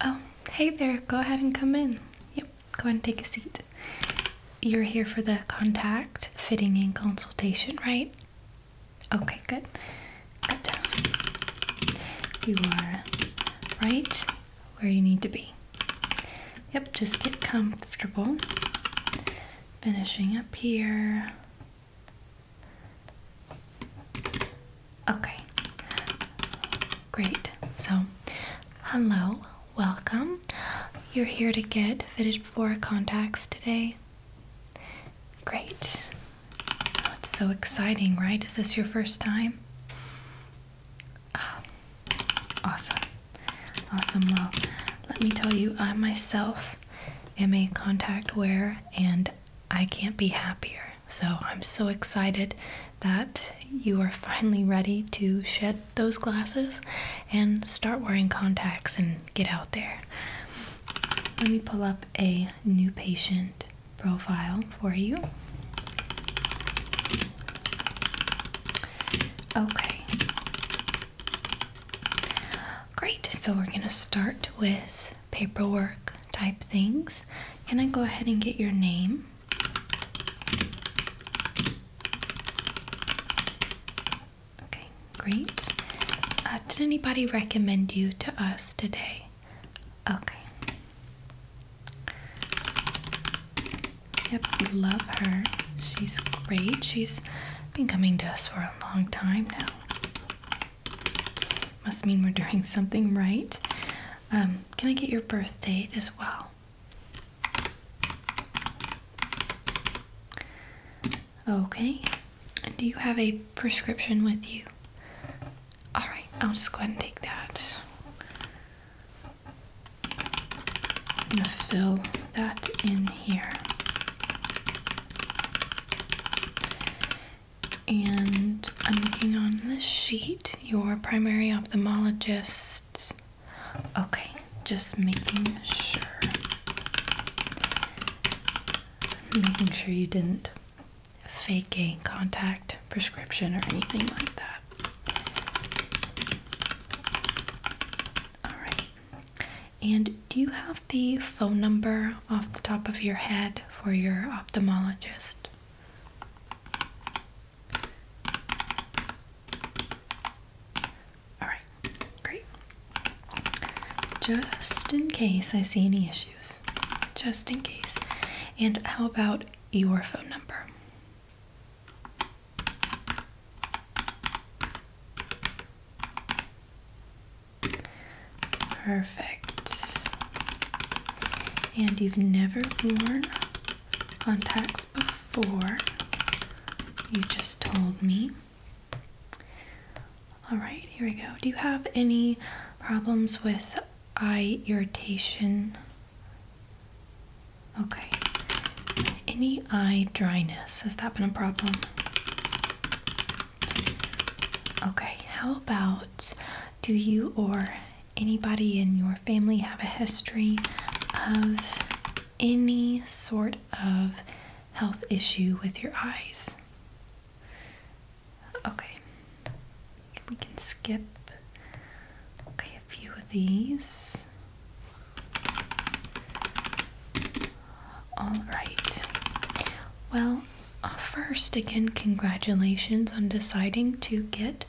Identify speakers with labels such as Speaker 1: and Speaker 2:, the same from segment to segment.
Speaker 1: Oh, hey there. Go ahead and come in. Yep, go ahead and take a seat. You're here for the contact fitting and consultation, right? Okay, good. Good. You are right where you need to be. Yep, just get comfortable. Finishing up here. Okay, great. So, hello, welcome. You're here to get fitted for contacts today. Great. it's so exciting, right? Is this your first time? Ah, awesome. Awesome. Well, let me tell you, I myself am a contact wearer and I can't be happier. So I'm so excited that you are finally ready to shed those glasses and start wearing contacts and get out there. Let me pull up a new patient profile for you. Okay. Great. So we're going to start with paperwork type things. Can I go ahead and get your name? Okay, great. Uh, did anybody recommend you to us today? Okay. Yep, we love her. She's great. She's been coming to us for a long time now. Must mean we're doing something right. Um, can I get your birth date as well? Okay. Do you have a prescription with you? Alright, I'll just go ahead and take that. I'm going to fill that in here. And I'm looking on this sheet, your primary ophthalmologist. Okay, just making sure. Making sure you didn't fake a contact prescription or anything like that. All right. And do you have the phone number off the top of your head? for your ophthalmologist. All right, great. Just in case I see any issues, just in case. And how about your phone number? Perfect. And you've never worn contacts before, you just told me. Alright, here we go. Do you have any problems with eye irritation? Okay. Any eye dryness? Has that been a problem? Okay, how about do you or anybody in your family have a history of any sort of health issue with your eyes? Okay, we can skip a few of these. All right. Well, first, again, congratulations on deciding to get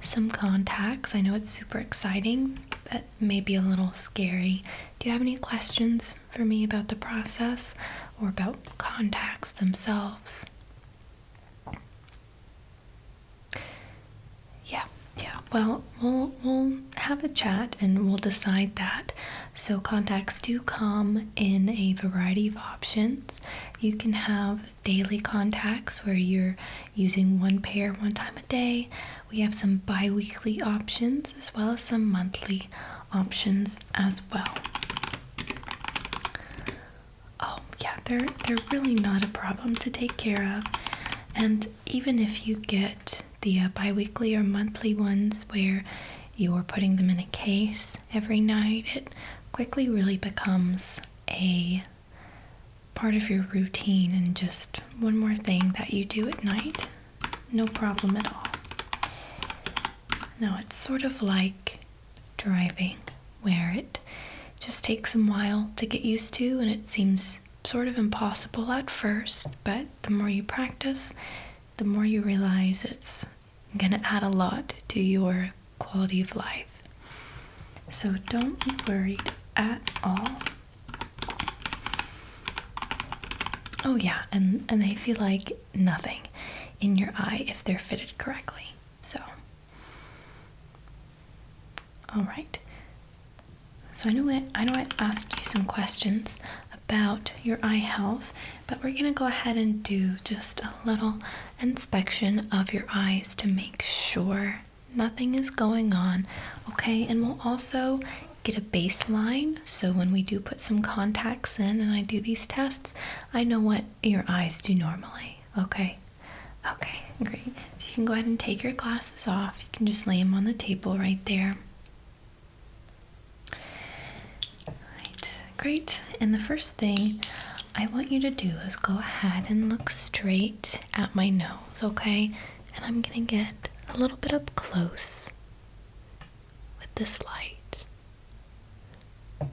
Speaker 1: some contacts. I know it's super exciting, but maybe a little scary. Do you have any questions for me about the process or about contacts themselves? Yeah, yeah. Well, we'll we'll have a chat and we'll decide that. So contacts do come in a variety of options. You can have daily contacts where you're using one pair one time a day. We have some bi weekly options as well as some monthly options as well. Oh, yeah, they're, they're really not a problem to take care of. And even if you get the uh, bi weekly or monthly ones where you're putting them in a case every night, it quickly really becomes a part of your routine and just one more thing that you do at night. No problem at all. Now it's sort of like driving, where it just takes some while to get used to and it seems sort of impossible at first, but the more you practice, the more you realize it's gonna add a lot to your quality of life. So don't be worried at all. Oh yeah, and, and they feel like nothing in your eye if they're fitted correctly. So Alright. So I know I, I know I asked you some questions about your eye health but we're going to go ahead and do just a little inspection of your eyes to make sure nothing is going on, okay? And we'll also get a baseline so when we do put some contacts in and I do these tests, I know what your eyes do normally, okay? Okay, great. So you can go ahead and take your glasses off. You can just lay them on the table right there great. And the first thing I want you to do is go ahead and look straight at my nose, okay? And I'm gonna get a little bit up close with this light.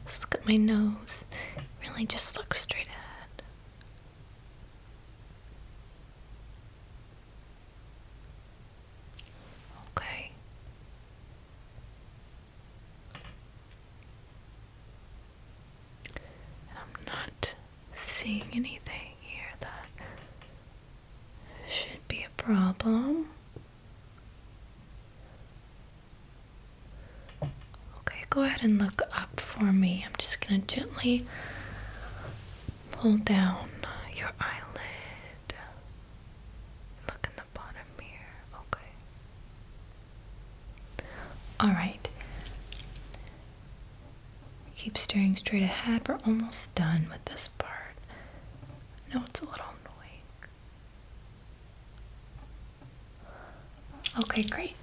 Speaker 1: Just look at my nose. Really just look straight ahead. Okay. And I'm not seeing anything here that should be a problem. Okay, go ahead and look up for me. I'm just going to gently pull down your eyelid. Look in bottom here. Okay. Alright. Keep staring straight ahead. We're almost done with this part. No, it's a little annoying. Okay, great.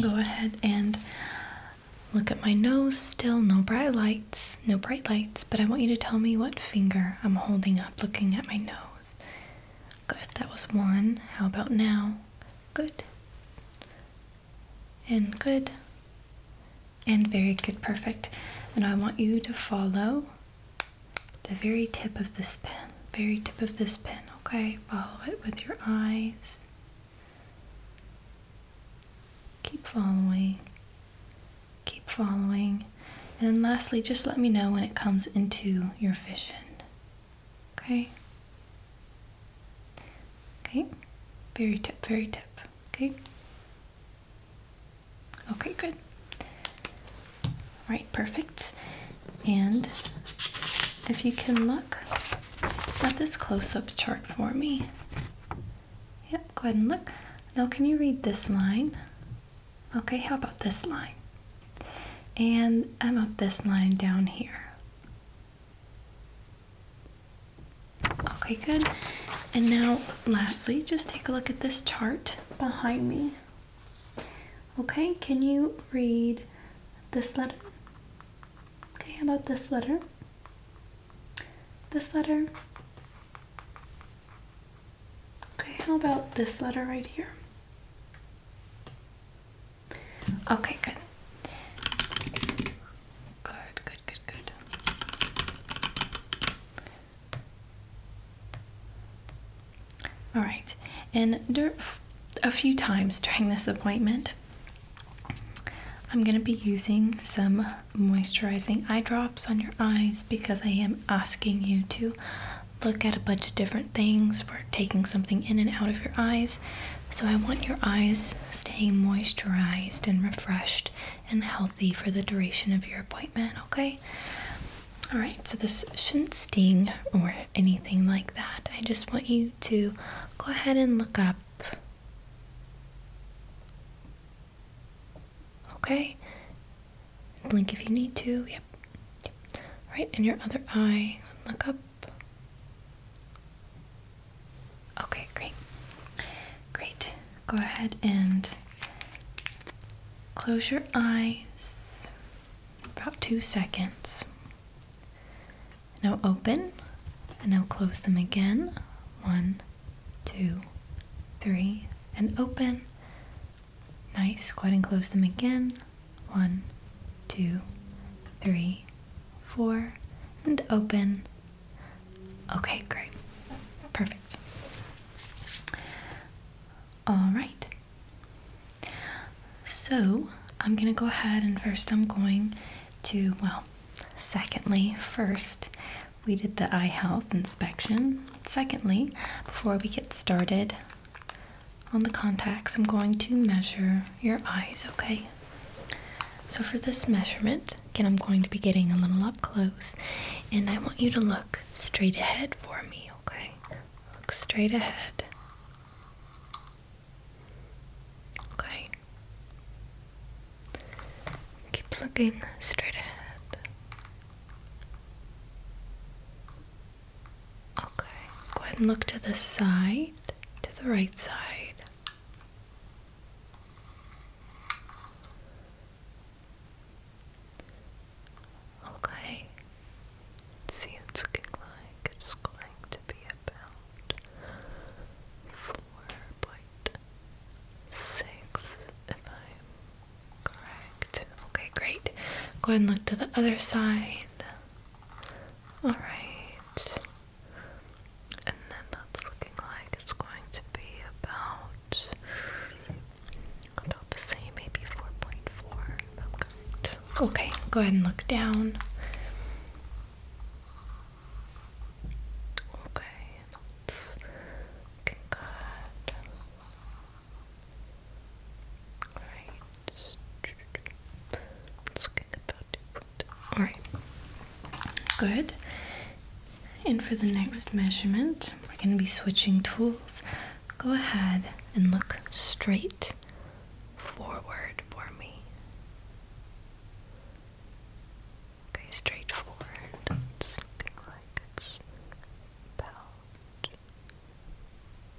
Speaker 1: Go ahead and look at my nose. Still no bright lights, no bright lights, but I want you to tell me what finger I'm holding up looking at my nose. Good, that was one. How about now? Good. And good. And very good, perfect. And I want you to follow the very tip of this pen, very tip of this pen, okay? Follow it with your eyes. Keep following. Keep following. And lastly, just let me know when it comes into your vision. Okay? Okay? Very tip, very tip. Okay? Okay, good. Right, perfect. And if you can look at this close-up chart for me. Yep, go ahead and look. Now can you read this line? Okay, how about this line? And about this line down here? Okay, good. And now, lastly, just take a look at this chart behind me. Okay, can you read this letter? Okay, how about this letter? This letter? Okay, how about this letter right here? Okay, good. Good, good, good, good. All right, and a few times during this appointment, I'm going to be using some moisturizing eye drops on your eyes because I am asking you to look at a bunch of different things. We're taking something in and out of your eyes. So I want your eyes staying moisturized and refreshed and healthy for the duration of your appointment, okay? All right, so this shouldn't sting or anything like that. I just want you to go ahead and look up Okay? Blink if you need to. Yep. yep. Right, and your other eye. Look up. Okay, great. Great. Go ahead and close your eyes about two seconds. Now open and now close them again. One, two, three, and open. Nice. Squat and close them again. One, two, three, four, and open. Okay, great. Perfect. All right. So I'm going to go ahead and first I'm going to, well, secondly, first, we did the eye health inspection. Secondly, before we get started on the contacts, I'm going to measure your eyes, okay? So, for this measurement, again, I'm going to be getting a little up close and I want you to look straight ahead for me, okay? Look straight ahead. Okay. Keep looking straight ahead. Okay, go ahead and look to the side, to the right side. Okay, see, it's looking like it's going to be about four point six, if I'm Correct. Okay, great. Go ahead and look to the other side. Alright. And then that's looking like it's going to be about about the same, maybe 4.4. Okay. okay, go ahead and look down. Okay, that's looking good. Alright. Let's get about Alright. Good. And for the next measurement, we're going to be switching tools. Go ahead and look straight forward for me. Okay, straight forward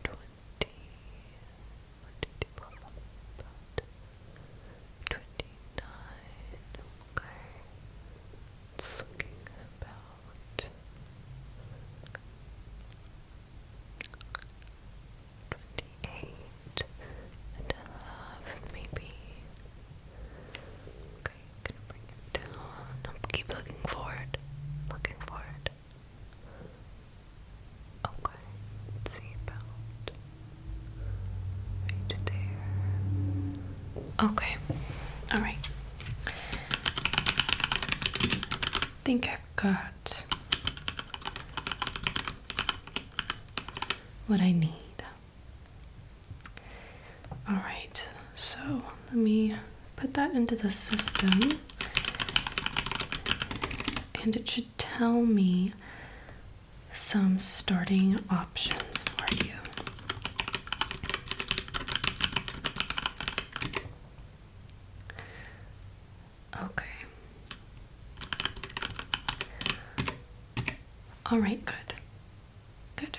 Speaker 1: twenty, twenty-nine, okay, it's looking about twenty-eight and a half, maybe, Okay, gonna bring it down. No, keep looking forward. Looking forward. Okay, let's see about right there. Okay, alright. I think I've got what I need. All right, so let me put that into the system, and it should tell me some starting options for you. Okay. All right, good. Good.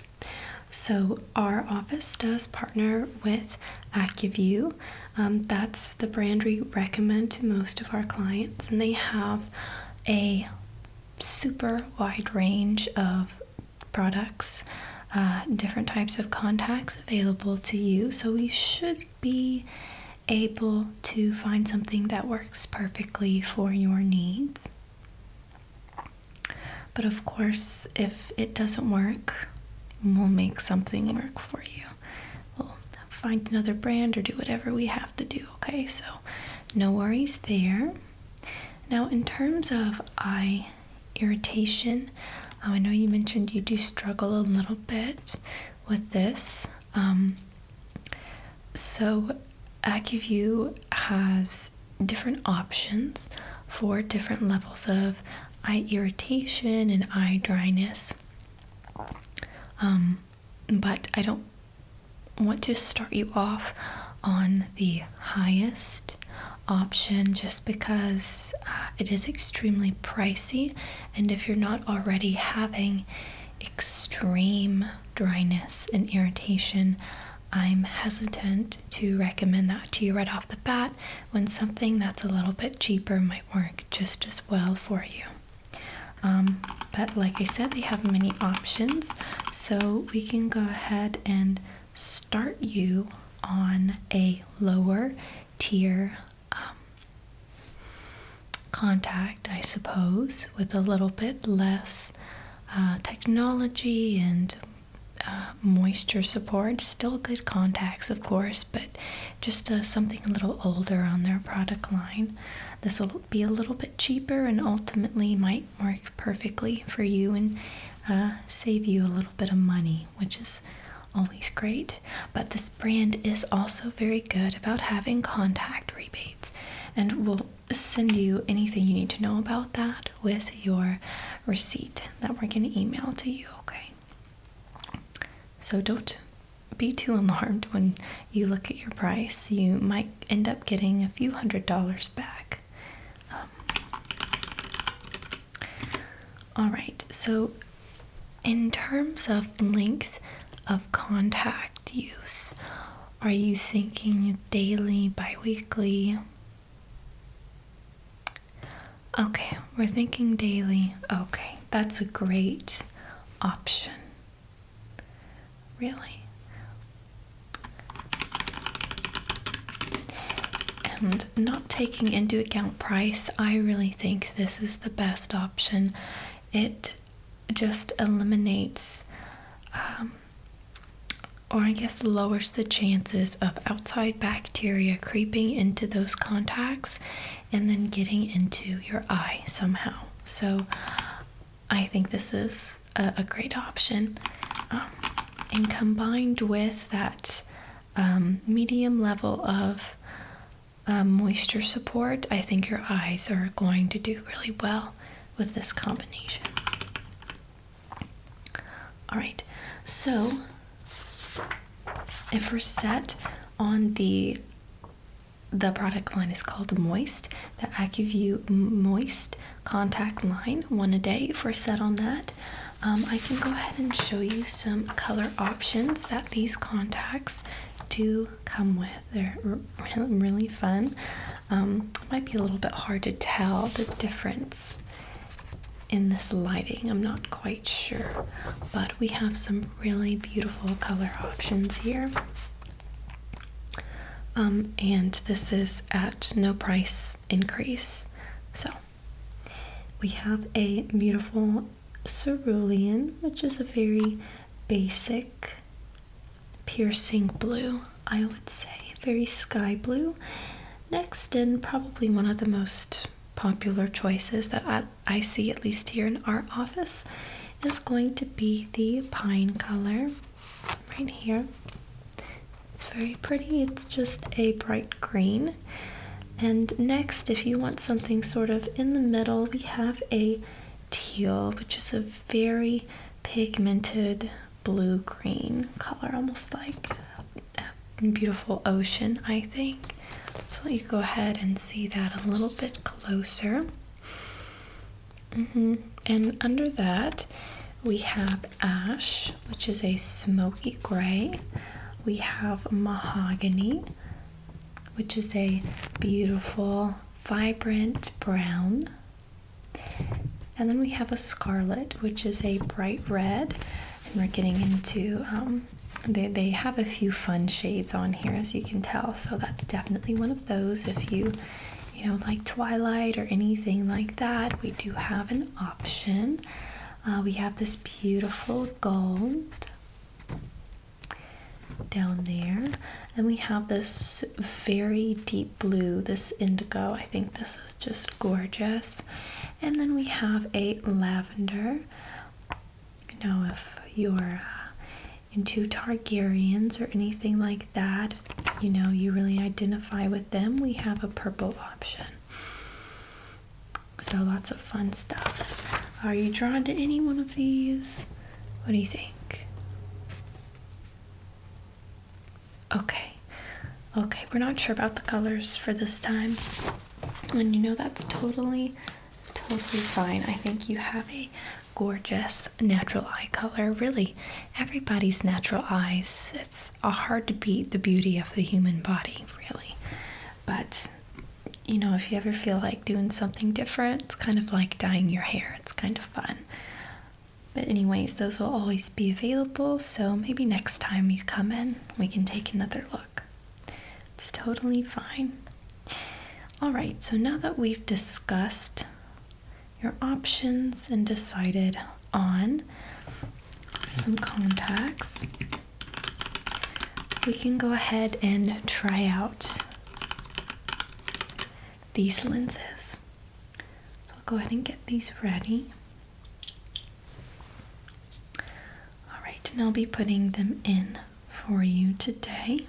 Speaker 1: So, our office does partner with AccuView. Um, that's the brand we recommend to most of our clients, and they have a super wide range of products, uh, different types of contacts available to you. So, we should be able to find something that works perfectly for your needs. But of course, if it doesn't work, we'll make something work for you. We'll find another brand or do whatever we have to do, okay? So, no worries there. Now, in terms of eye irritation, um, I know you mentioned you do struggle a little bit with this. Um, so, Acuvue has different options for different levels of eye irritation and eye dryness. Um, but I don't want to start you off on the highest option just because uh, it is extremely pricey, and if you're not already having extreme dryness and irritation, I'm hesitant to recommend that to you right off the bat when something that's a little bit cheaper might work just as well for you. Um, but like I said, they have many options, so we can go ahead and start you on a lower tier um, contact, I suppose, with a little bit less uh, technology and uh, moisture support. Still good contacts, of course, but just uh, something a little older on their product line. This will be a little bit cheaper and ultimately might work perfectly for you and uh, save you a little bit of money, which is always great. But this brand is also very good about having contact rebates and will send you anything you need to know about that with your receipt that we're going to email to you, okay? So don't be too alarmed when you look at your price. You might end up getting a few hundred dollars back. Um, all right, so in terms of length of contact use, are you thinking daily, bi weekly, Okay, we're thinking daily. Okay, that's a great option. Really. And not taking into account price, I really think this is the best option. It just eliminates um, or I guess lowers the chances of outside bacteria creeping into those contacts and then getting into your eye somehow. So I think this is a, great option. Um, and combined with that um, medium level of um, moisture support, I think your eyes are going to do really well with this combination. All right, so if we're set on the the product line is called Moist, the AccuView Moist contact line, one a day. If we're set on that, um, I can go ahead and show you some color options that these contacts do come with. They're really fun. it um, might be a little bit hard to tell the difference in this lighting. I'm not quite sure, but we have some really beautiful color options here. Um, and this is at no price increase. So we have a beautiful cerulean, which is a very basic piercing blue. I would say, very sky blue. Next, and probably one of the most popular choices that I, see, at least here in our office, is going to be the pine color right here. It's very pretty, it's just a bright green. And next, if you want something sort of in the middle, we have a teal, which is a very pigmented blue green color, almost like a beautiful ocean, I think. So let you go ahead and see that a little bit closer. Mm-hmm. And under that, we have ash, which is a smoky gray. We have mahogany, which is a beautiful, vibrant brown. And then we have a scarlet, which is a bright red, and we're getting into. Um, they, they have a few fun shades on here, as you can tell. So that's definitely one of those. If you, you know, like Twilight or anything like that, we do have an option. Uh, we have this beautiful gold down there, and we have this very deep blue, this indigo. I think this is just gorgeous. And then we have a lavender. You know, if you're uh, into Targaryens or anything like that, you know, you really identify with them, we have a purple option. So lots of fun stuff. Are you drawn to any one of these? What do you think? Okay. Okay, we're not sure about the colors for this time. And you know that's totally totally fine. I think you have a gorgeous natural eye color. Really, everybody's natural eyes. It's hard to beat the beauty of the human body, really. But you know, if you ever feel like doing something different, it's kind of like dyeing your hair. It's kind of fun. But, anyways, those will always be available, so maybe next time you come in, we can take another look. It's totally fine. All right, so now that we've discussed your options and decided on some contacts, we can go ahead and try out these lenses. So I'll go ahead and get these ready. All right, and I'll be putting them in for you today.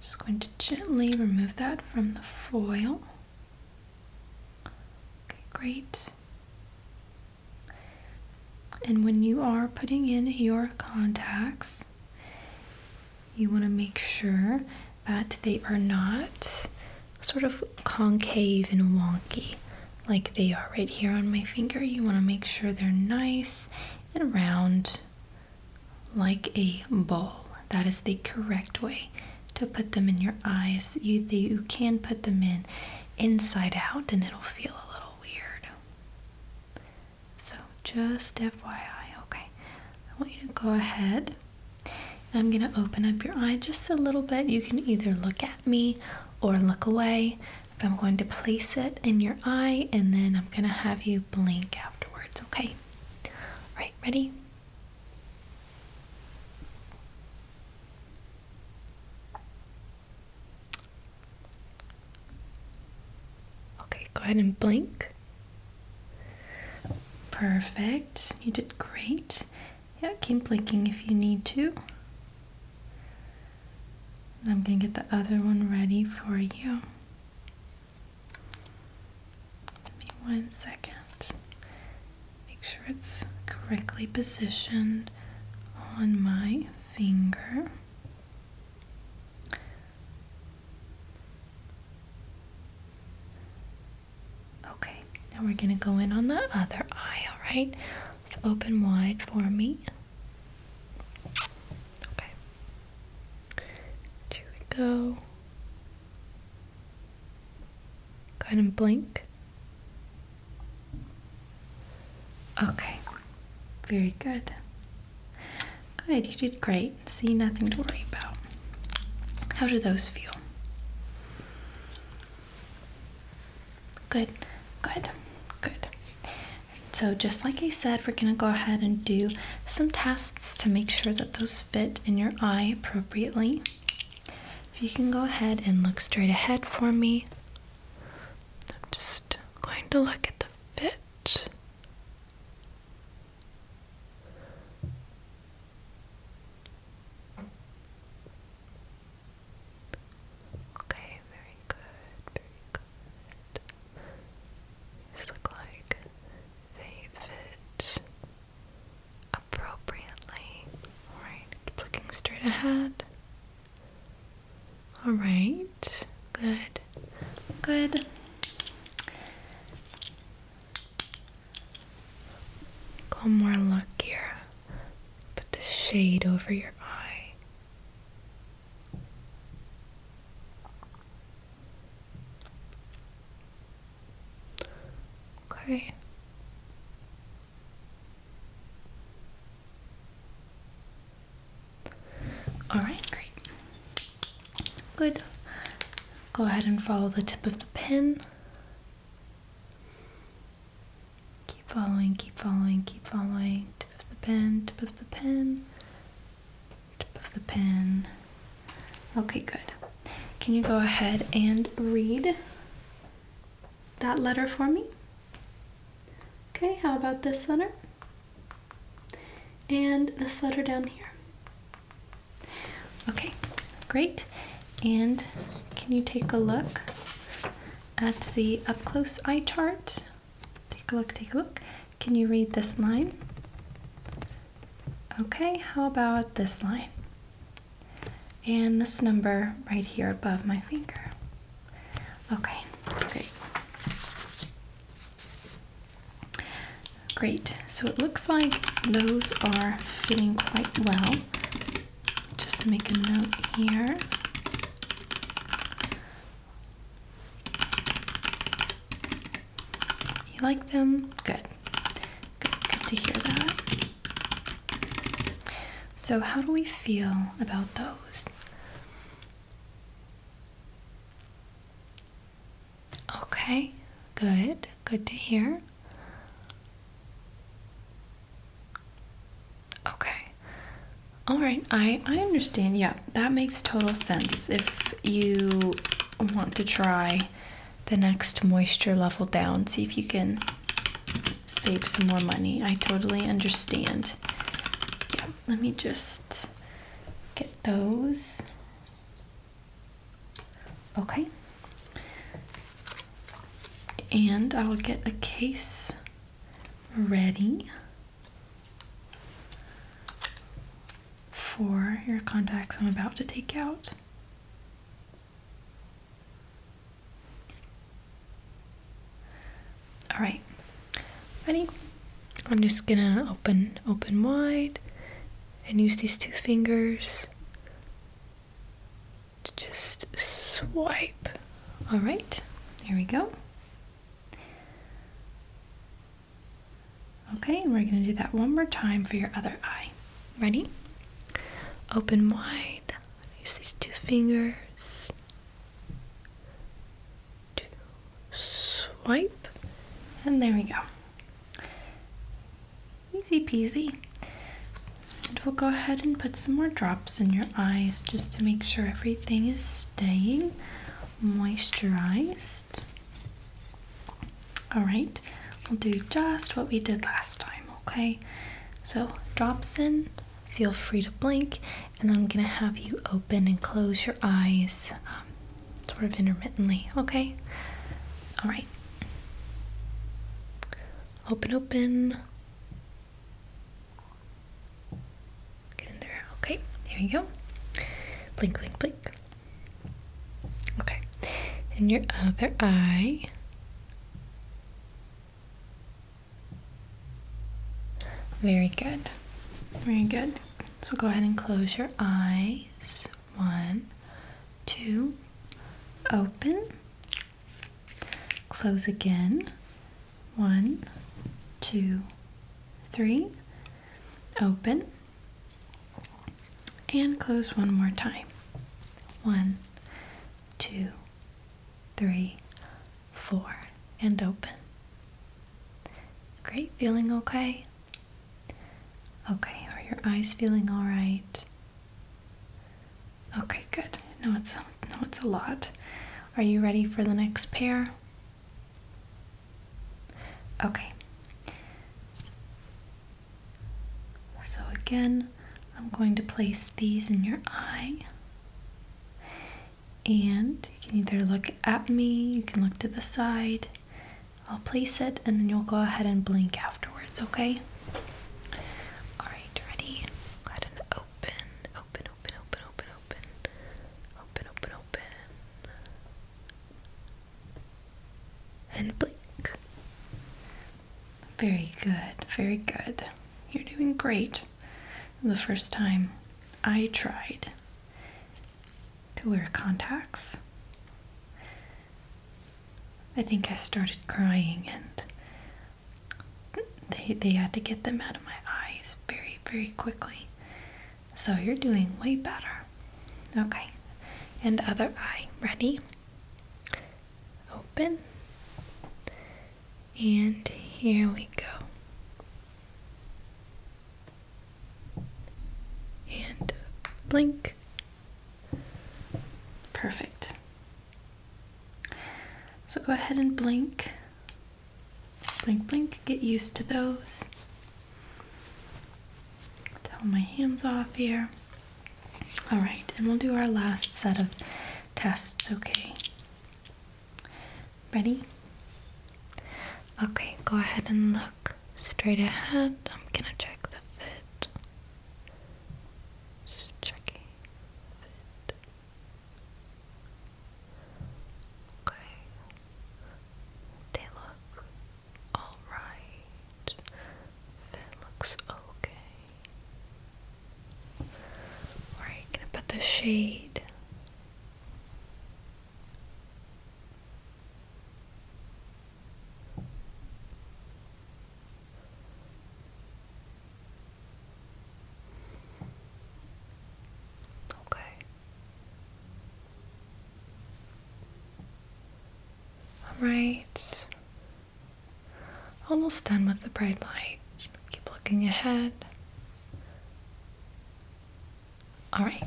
Speaker 1: Just going to gently remove that from the foil. great. And when you are putting in your contacts, you want to make sure that they are not sort of concave and wonky like they are right here on my finger. You want to make sure they're nice and round like a ball. That is the correct way to put them in your eyes. You, you can put them in inside out and it'll feel a little weird. So just FYI, okay. I want you to go ahead. I'm gonna open up your eye just a little bit. You can either look at me or look away. But I'm going to place it in your eye and then I'm gonna have you blink afterwards, okay? Alright, ready? Okay, go ahead and blink. Perfect. You did great. Yeah, keep blinking if you need to. I'm going to get the other one ready for you. Give me one second. Make sure it's correctly positioned on my finger. Okay, now we're going to go in on the other eye, all right? So open wide for me. Okay. Here we go. Go ahead and blink. Okay, very good. Good, you did great. See, nothing to worry about. How do those feel? Good, good, good. So, just like I said, we're going to go ahead and do some tests to make sure that those fit in your eye appropriately. If you can go ahead and look straight ahead for me, I'm just going to look at the fit. Okay, very good, very good. These look like they fit appropriately. Alright, keep looking straight ahead. Alright, good. Good. Go more luckier. Put the shade over your eye. Okay. Alright, great. Good. Go ahead and follow the tip of the pen. Keep following, keep following, keep following. Tip of the pen, tip of the pen, tip of the pen. Okay, good. Can you go ahead and read that letter for me? Okay, how about this letter? and this letter down here. Okay, great. And can you take a look at the up close eye chart? Take a look, take a look. Can you read this line? Okay, how about this line? And this number right here above my finger. Okay, great. Great, so it looks like those are fitting quite well. Just to make a note here. You like them? Good. Good, to hear that. So, how do we feel about those? Okay, good, good to hear. Okay. All right, I I understand. Yeah, that makes total sense. If you want to try the next moisture level down, see if you can save some more money. I totally understand. Yeah, let me just get those. Okay. And I will get a case ready for your contacts I'm about to take out. All right. Ready? I'm just gonna open open wide and use these two fingers to just swipe. All right, here we go. Okay, and we're gonna do that one more time for your other eye. Ready? Open wide, use these two fingers swipe, and there we go. Easy peasy. And we'll go ahead and put some more drops in your eyes just to make sure everything is staying moisturized. All right, we'll do just what we did last time, okay? So drops in, feel free to blink, and I'm gonna have you open and close your eyes um, sort of intermittently, okay? All right. Open, open. Get in there. Okay, there you go. Blink, blink, blink. Okay, and your other eye. Very good. Very good. So go ahead and close your eyes. One, two, open, close again. One, two, three, open, and close one more time. One, two, three, four, and open. Great, feeling okay? Okay, are your eyes feeling all right? Okay, good. No, it's no, it's a lot. Are you ready for the next pair? Okay. So again, I'm going to place these in your eye. And you can either look at me, you can look to the side, I'll place it and then you'll go ahead and blink afterwards, okay? Alright, ready? Go ahead and open, open, open, open, open, open, open, open, open. And blink. Very good, very good. You're doing great the first time. I tried to wear contacts. I think I started crying and they, they had to get them out of my eyes very, very quickly. So you're doing way better. Okay. And other eye. Ready? Open. And here we go. And blink. Perfect. So go ahead and blink. Blink, blink. Get used to those. Towel my hands off here. All right, and we'll do our last set of tests, okay? Ready? Okay, go ahead and look straight ahead. I'm gonna check the fit. Just checking Okay. They look alright. Fit looks okay. Alright, gonna put the shade Okay. All right. Almost done with the bright light. Keep looking ahead. All right.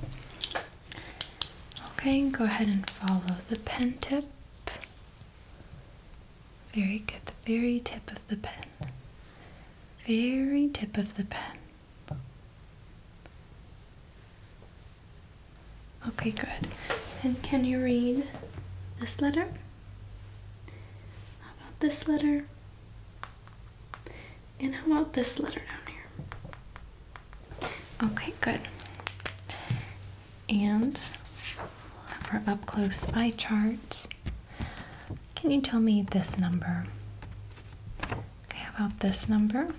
Speaker 1: Okay, go ahead and follow the pen tip. Very good. very tip of the pen. Very tip of the pen. Okay, good. And can you read this letter? How about this letter? And how about this letter down here? Okay, good. And our up close eye chart. Can you tell me this number? Okay, how about this number?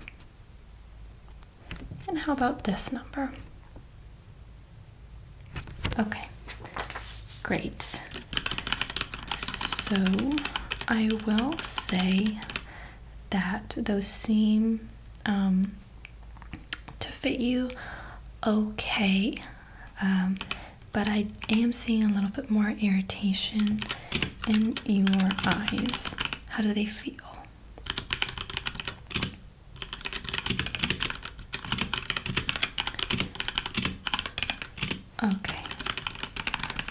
Speaker 1: And how about this number? Okay, great. So I will say that those seem um, to fit you okay. Um, but I am seeing a little bit more irritation in your eyes. How do they feel? Okay.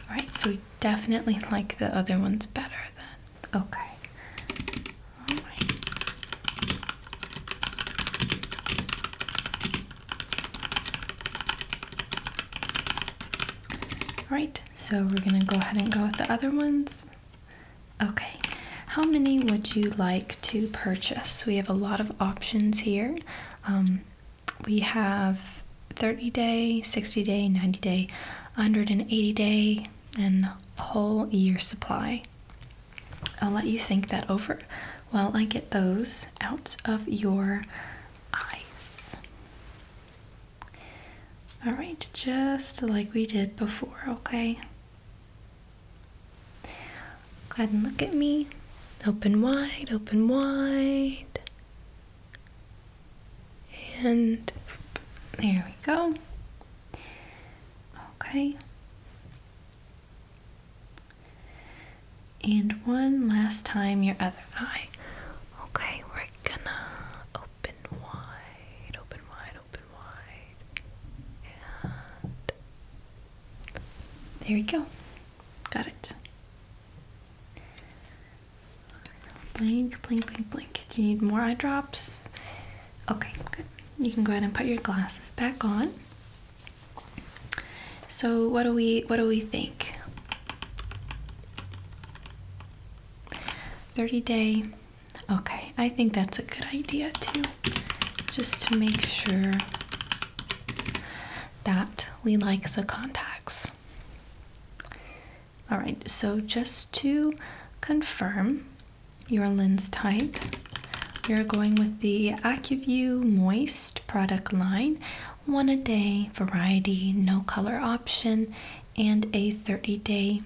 Speaker 1: All right, so definitely like the other ones better then. Okay. All right. so we're gonna go ahead and go with the other ones. Okay, how many would you like to purchase? We have a lot of options here. Um, we have 30 day, 60 day, 90 day, 180 day, and a whole year supply. I'll let you think that over while I get those out of your eyes. All right, just like we did before, okay? Go ahead and look at me. Open wide, open wide. And there we go. Okay. And one last time, your other eye. Okay, we're gonna open wide, open wide, open wide. And there we go. Got it. Blink, blink, blink, blink. Do you need more eye drops? Okay, good. You can go ahead and put your glasses back on. So what do we what do we think? 30 day. Okay, I think that's a good idea too. Just to make sure that we like the contacts. All right, so just to confirm your lens type, you're going with the AccuView Moist product line, one a day variety, no color option, and a 30 day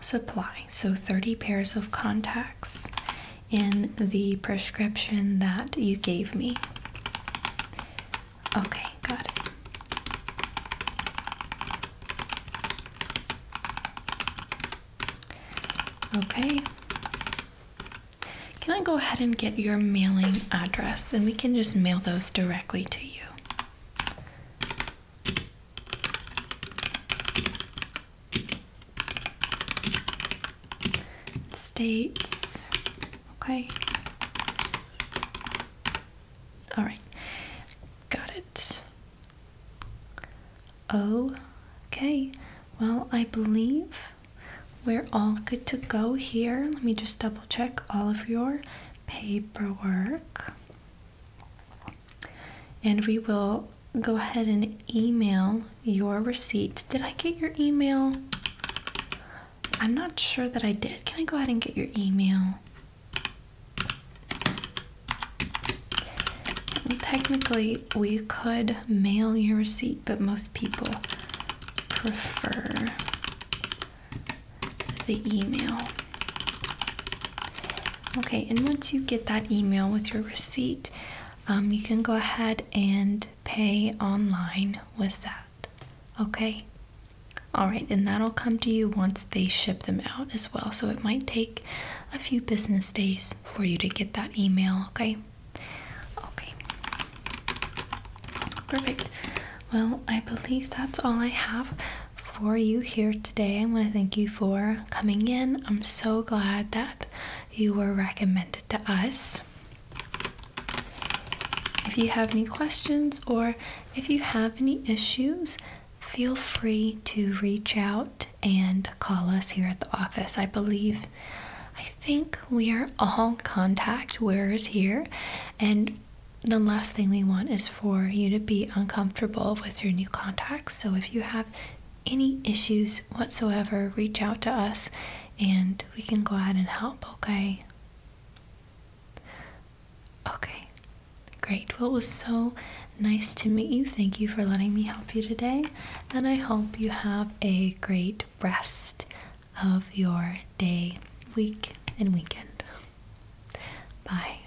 Speaker 1: supply. So 30 pairs of contacts in the prescription that you gave me. Okay, got it. Okay. Can I go ahead and get your mailing address and we can just mail those directly to you? States Okay. All right. Got it. Okay. Well, I believe we're all good to go here. Let me just double check all of your paperwork. And we will go ahead and email your receipt. Did I get your email? I'm not sure that I did. Can I go ahead and get your email? technically, we could mail your receipt, but most people prefer the email. Okay, and once you get that email with your receipt, um, you can go ahead and pay online with that. Okay? Alright, and that'll come to you once they ship them out as well. So it might take a few business days for you to get that email, okay? Okay. Perfect. Well, I believe that's all I have for you here today. I want to thank you for coming in. I'm so glad that you were recommended to us. If you have any questions or if you have any issues, feel free to reach out and call us here at the office. I believe, I think we are all contact wearers here, and the last thing we want is for you to be uncomfortable with your new contacts. So if you have any issues whatsoever, reach out to us and we can go ahead and help, okay? Okay, great. Well, it was so nice to meet you. Thank you for letting me help you today, and I hope you have a great rest of your day, week, and weekend. Bye.